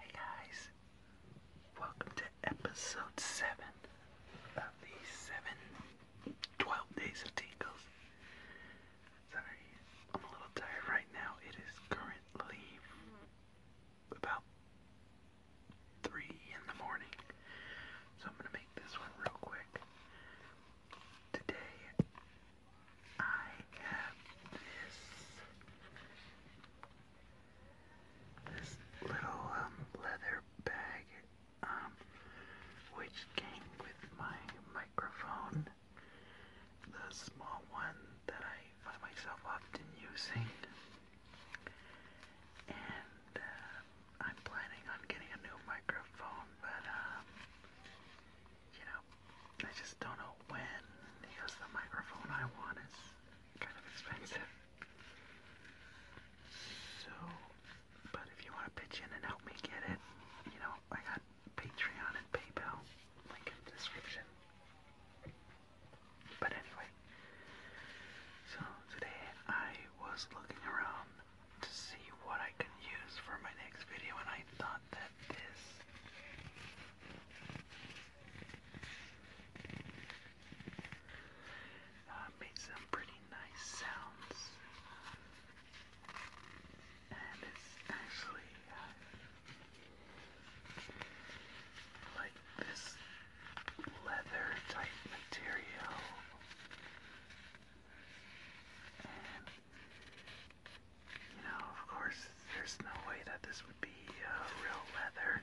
Hey guys, welcome to episode 7 of the 7 12 Days of Tingles. Sorry, I'm a little tired right now. It is currently about 3 in the morning. So I'm going to make this one real quick. Today, I have this, little um, leather bag, um, which came with my microphone the small one that I find myself often using. And uh, I'm planning on getting a new microphone, but um, you know, I just don't know when because the microphone I want is kind of expensive. So, but if you want to pitch in and help me get it, you know, I got Patreon and PayPal. Link in the description. But anyway, so today I was looking around to see what I could use for my next video, and I thought that this uh, made some pretty nice sounds and it's actually uh, like this leather type material and you know of course there's no way that this would be uh, real leather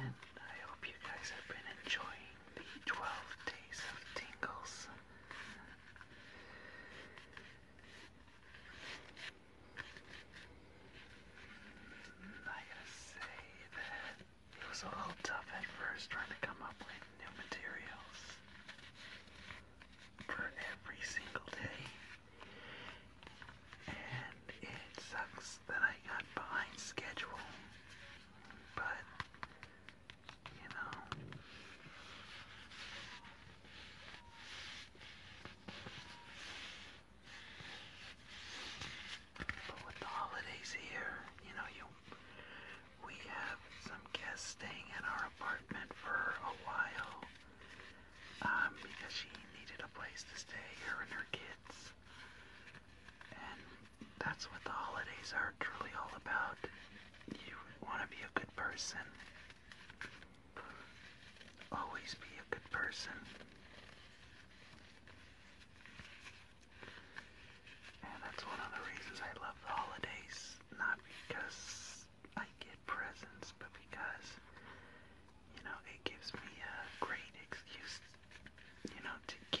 And I hope you guys have been enjoying the 12 days of tingles. I gotta say that it was a little tough at first trying to come up with new materials for every single day. And it sucks that I got behind schedule. But, you know. But with the holidays here, you know, you we have some guests staying at our apartment for a while. Um, because she needed a place to stay, her and her kids. And that's what the holidays are truly all about. You want to be a good person. Always be a good person. And that's one of the reasons I love the holidays. Not because I get presents, but because, you know, it gives me a great excuse, you know, to give.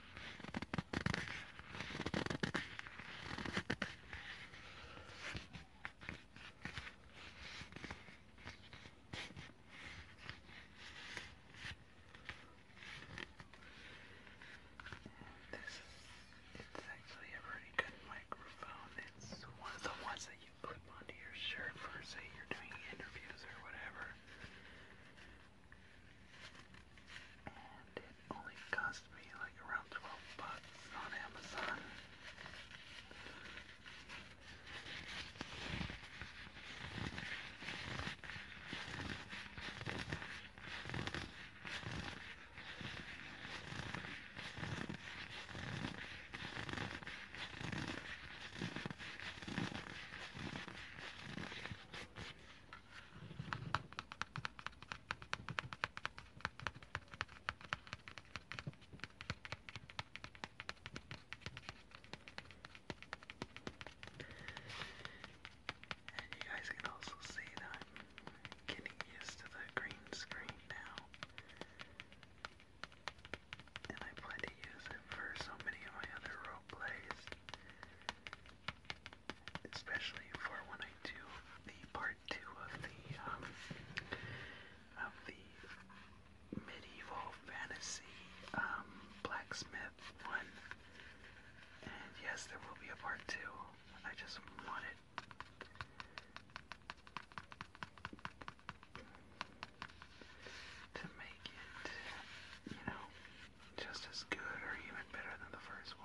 This is, it's actually a pretty good microphone. It's one of the ones that you clip onto your shirt for, say, you're doing interviews or whatever. And it only cost me like around 12 bucks on Amazon. And you guys can also see that I'm getting used to the green screen now. And I plan to use it for so many of my other role plays especially for when I do the part two of the um, of the medieval fantasy um, blacksmith one. And yes, there will be a part two. I just want To make it, you know, just as good or even better than the first one.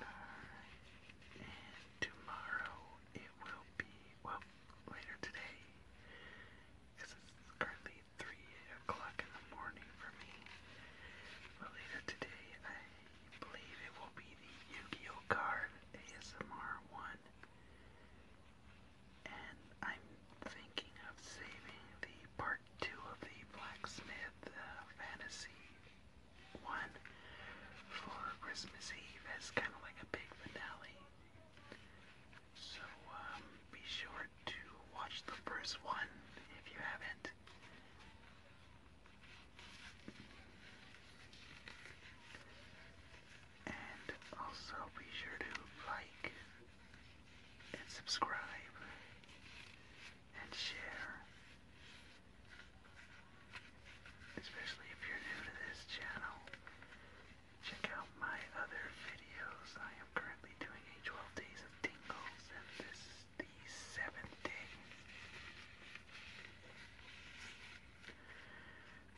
Uh, and tomorrow it will be, well, later today, because it's currently 3 o'clock in the morning for me. But later today, I believe it will be the Yu Gi Oh! card ASMR one and I'm thinking of saving the part two of the blacksmith uh, fantasy one for Christmas Eve as kind of like a big finale. So um, be sure to watch the first one if you haven't. And also be sure to like, and subscribe and share. Especially if you're new to this channel, check out my other videos. I am currently doing a 12 days of tingles and this is the seventh day.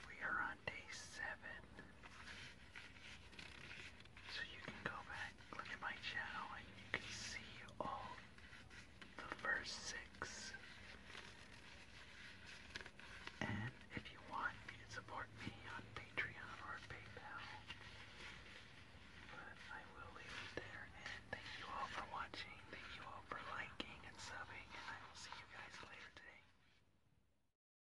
We are on day seven. So you can go back, look at my channel, and you can see all the first six. And if you want, you can support me on Patreon or PayPal. But I will leave it there, and thank you all for watching, thank you all for liking and subbing, and I will see you guys later today.